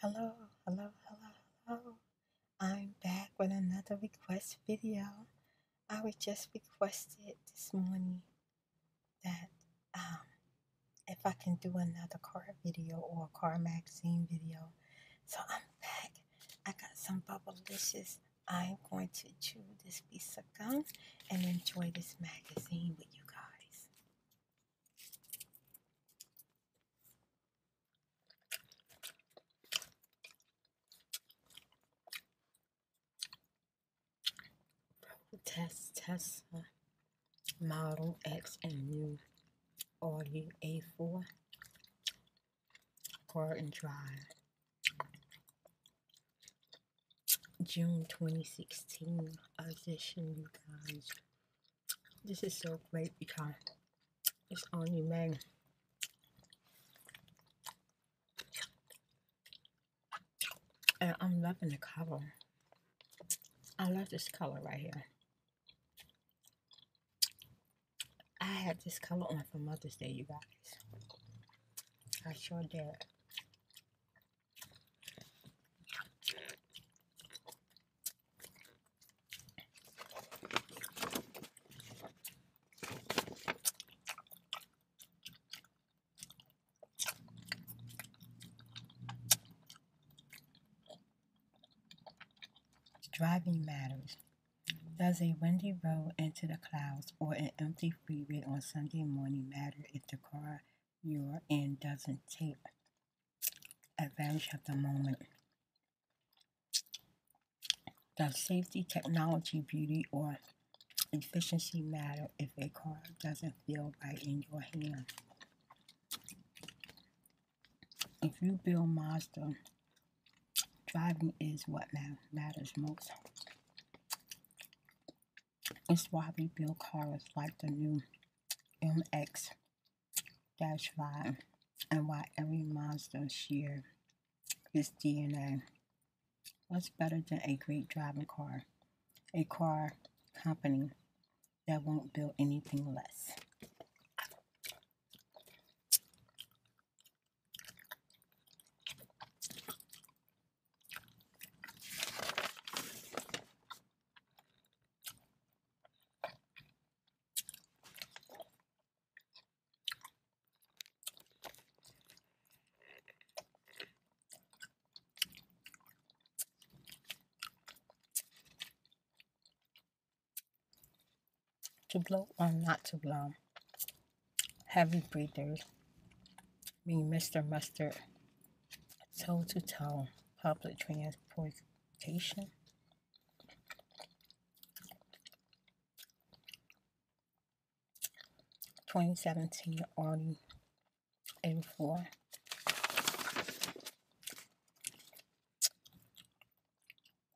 Hello, hello, hello, hello. I'm back with another request video. I was just requested this morning that um, if I can do another car video or a car magazine video. So I'm back. I got some bubble dishes. I'm going to chew this piece of gum and enjoy this magazine with you guys. Test, test, model X and new Audi A4 Garden Drive. June 2016 audition, you guys. This is so great because it's only men. And I'm loving the cover. I love this color right here. I had this color on for Mother's Day, you guys. I sure did. Driving matters. Does a windy road into the clouds or an empty brief reread on Sunday morning matter if the car you're in doesn't take advantage of the moment. Does safety, technology, beauty, or efficiency matter if a car doesn't feel right in your hand? If you build Mazda driving is what matters most. It's why we build cars like the new MX 5 and why every Mazda shares its DNA. What's better than a great driving car? A car company that won't build anything less. To blow or not to blow heavy breathers, meaning Mr. Mustard, toe to toe public transportation. Twenty seventeen Audi A four.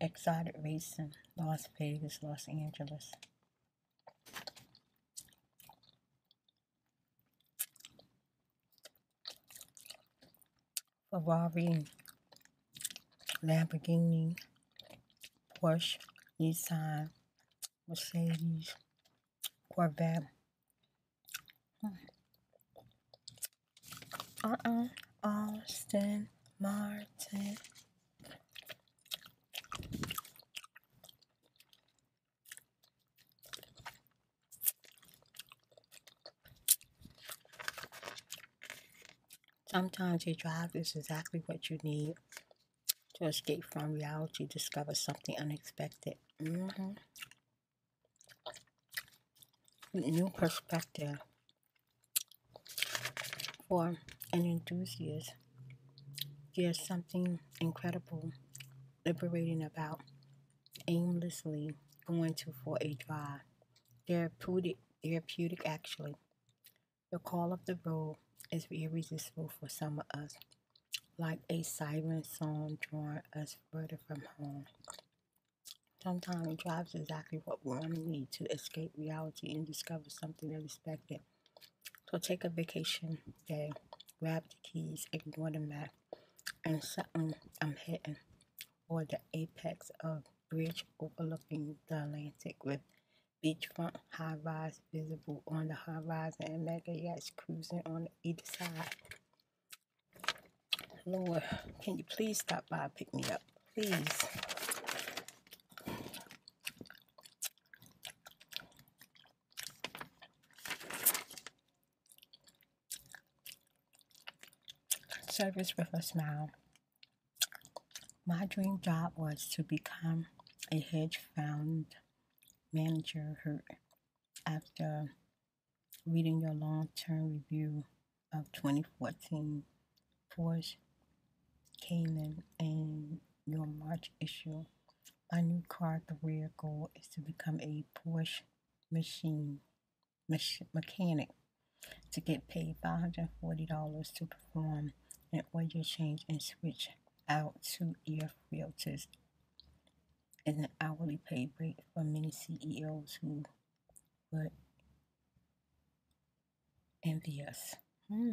Exotic racing, Las Vegas, Los Angeles. Ferrari, Lamborghini, Porsche, Nissan, Mercedes, Corvette. Hmm. Uh-uh. Austin Martin. Sometimes a drive is exactly what you need to escape from reality, discover something unexpected. mm New perspective for an enthusiast. There's something incredible, liberating about aimlessly going to for a drive. Therapeutic, therapeutic actually. The call of the road is irresistible for some of us, like a siren song drawing us further from home. Sometimes drives exactly what we need to escape reality and discover something unexpected. So take a vacation day, grab the keys, ignore the map, and suddenly I'm hitting or the apex of bridge overlooking the Atlantic with beachfront high rise visible on the horizon and mega yachts cruising on either side. Lord, can you please stop by pick me up? Please. Service with a smile. My dream job was to become a hedge fund manager hurt after reading your long term review of 2014 Forbes Kanan in your March issue my new car career goal is to become a Porsche machine mach- mechanic to get paid $540 to perform an oil change and switch out two air filters is an hourly pay break for many CEOs who would envy us. Hmm.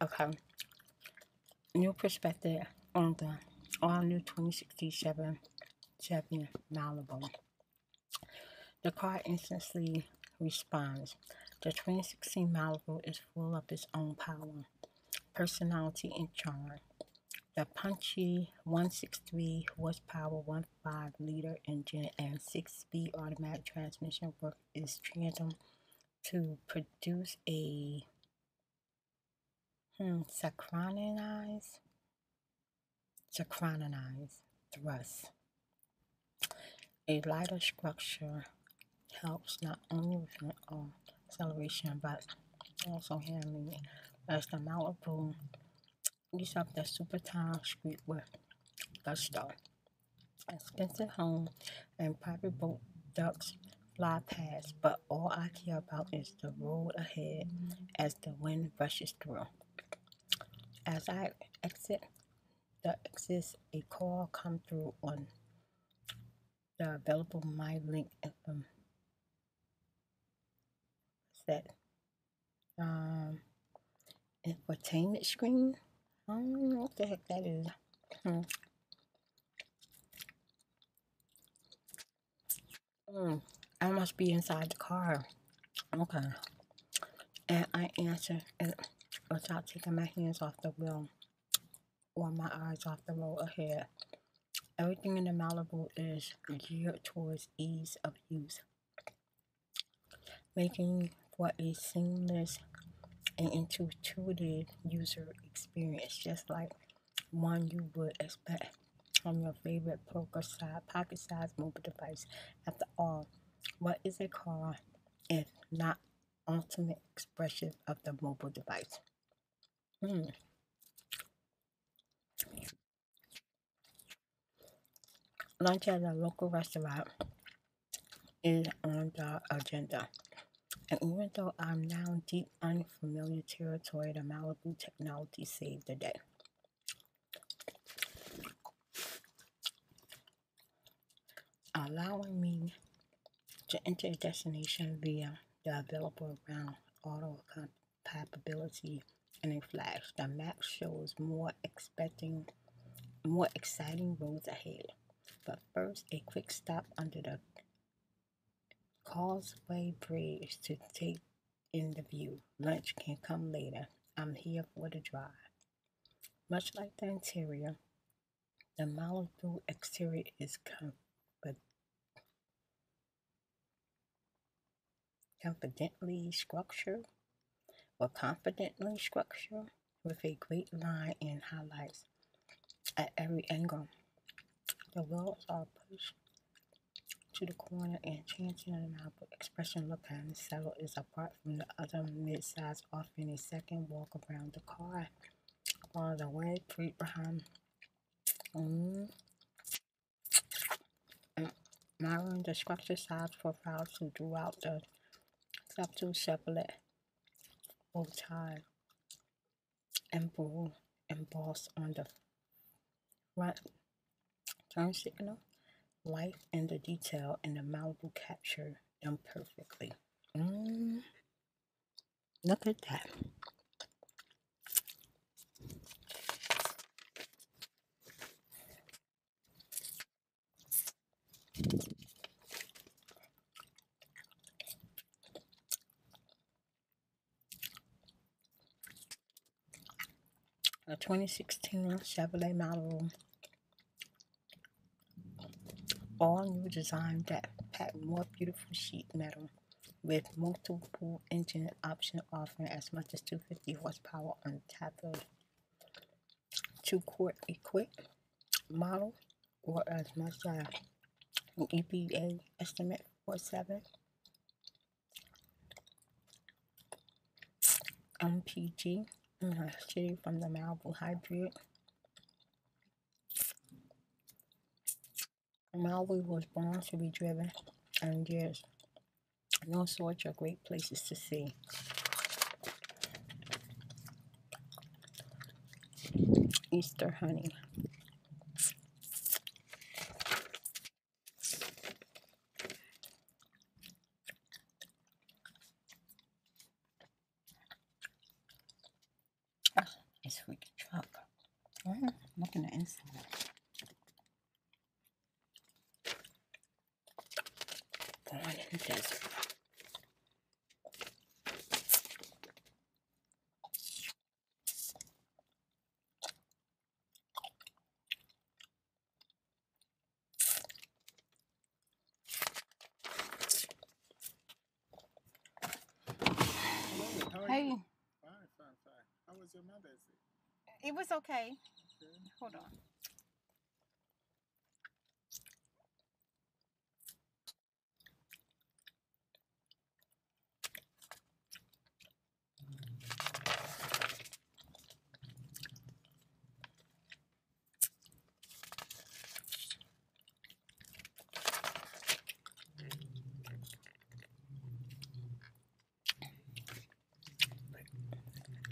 Okay. New perspective on the all new 2067 Chevy Malibu. The car instantly responds. The 2016 Malibu is full of its own power, personality, and charm. The punchy 163 horsepower 1.5 liter engine and 6 speed automatic transmission work is triism to produce a hmm, synchronized, synchronized thrust. A lighter structure helps not only with um, acceleration but also handling it. As the Malibu eats up the super tall street with gusto expensive home, and private boat ducks fly past, but all I care about is the road ahead as the wind rushes through. As I exit there exists a call come through on the available My Link um, um, infotainment screen. I um, do what the heck that is. Hmm. hmm. I must be inside the car. Okay. And I answer it without taking my hands off the wheel or my eyes off the road ahead. Everything in the Malibu is geared towards ease of use making for a seamless and intuitive user experience, just like one you would expect from your favorite poker size, pocket sized mobile device. After all, what is a car if not ultimate expression of the mobile device? Hmm lunch at a local restaurant is on the agenda. And even though I'm now deep unfamiliar territory, the Malibu technology saved the day. Allowing me to enter a destination via the available ground auto compatibility in a flash. The map shows more expecting more exciting roads ahead. But first, a quick stop under the Causeway Bridge to take in the view. Lunch can come later. I'm here for the drive. Much like the interior, the Malibu exterior is calm, but confidently structured or confidently structured with a great line and highlights at every angle. The wheels are pushed to the corner and changing the amount of expression look and settle is apart from the other mid-size offering a second walk around the car while the way, fruit behind mm. Maryland, the structure size for files throughout the septal sepalate over time and bull embossed on the right turn signal. light and the detail and the Malibu capture them perfectly. Mm. look at that. A 2016 Chevrolet Malibu. All new design that pack more beautiful sheet metal with multiple engine options offering as much as 250 horsepower on top Two quart a model or as much as an EPA estimate for seven MPG uh, shitty from the Malibu hybrid. Malibu was born to be driven and yes and all sorts are great places to see. Easter honey. Oh, it's freaking truck. Oh, looking at inside. Gone in the desert. Hey. How was your mother's It was okay. Hold on.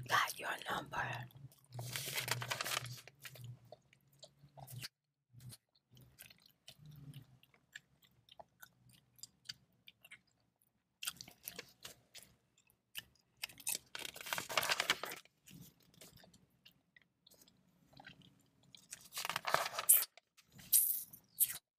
Got your number.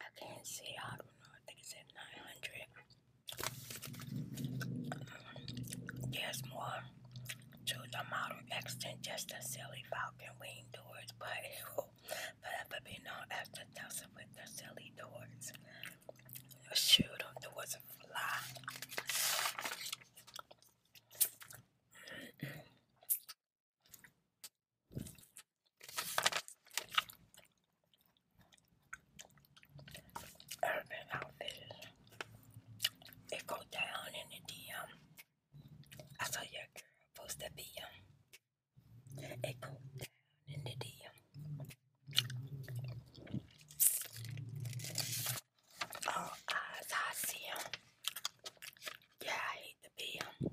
I can't see. I don't know. I think it said 900. there's mm, more to the model X just a silly falcon wing doors, but it will forever be known as the Delta with the silly doors. Shoot, them, there was a fly. I do It goes down in the DM. I saw your girl post a DM. It goes down in the DM. Oh, I see him. Yeah, I hate the DM.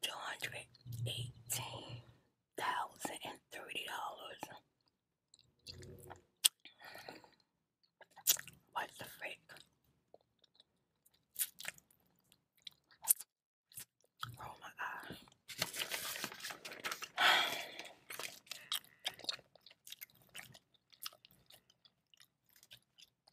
two hundred eighteen thousand and thirty dollars. What the frick? Oh my god.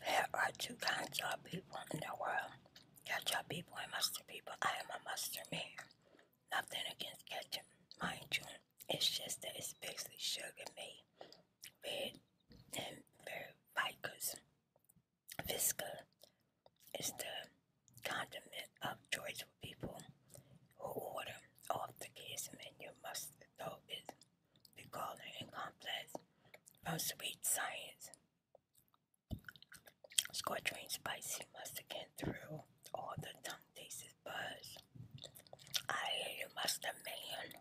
There are two kinds of people in the world ketchup people and mustard people. I am a mustard man. Nothing against ketchup, mind you. It's just that it's basically sugar made red and very vicus. Visca is the condiment of choice for people who order off the kids menu. Must though is be calling and complex from sweet science. Scorching spicy must again through all the tongue tasted buzz. I hear you must have man.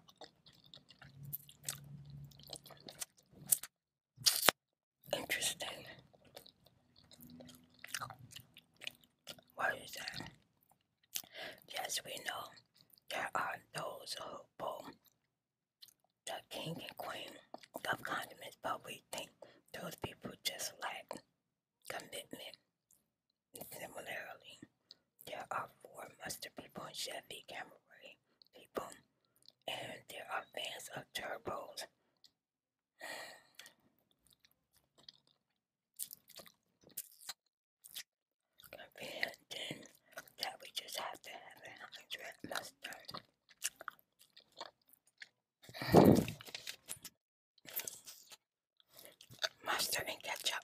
Interesting. Why is that? Yes, we know there are those who bowl the king and queen of condiments, but we think those people just like commitment. Similarly, there are four mustard people in Chevy Camry people, and there are fans of turbos. Convincing that we just have to have a hundred mustard mustard and ketchup.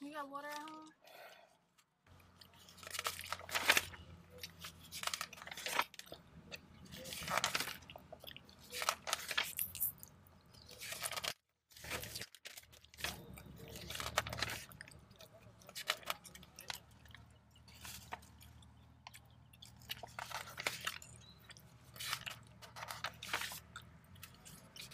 You got water at home? Good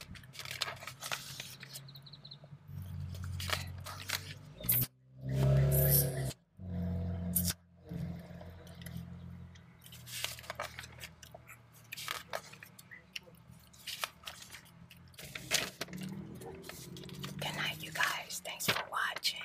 night, you guys. Thanks for watching.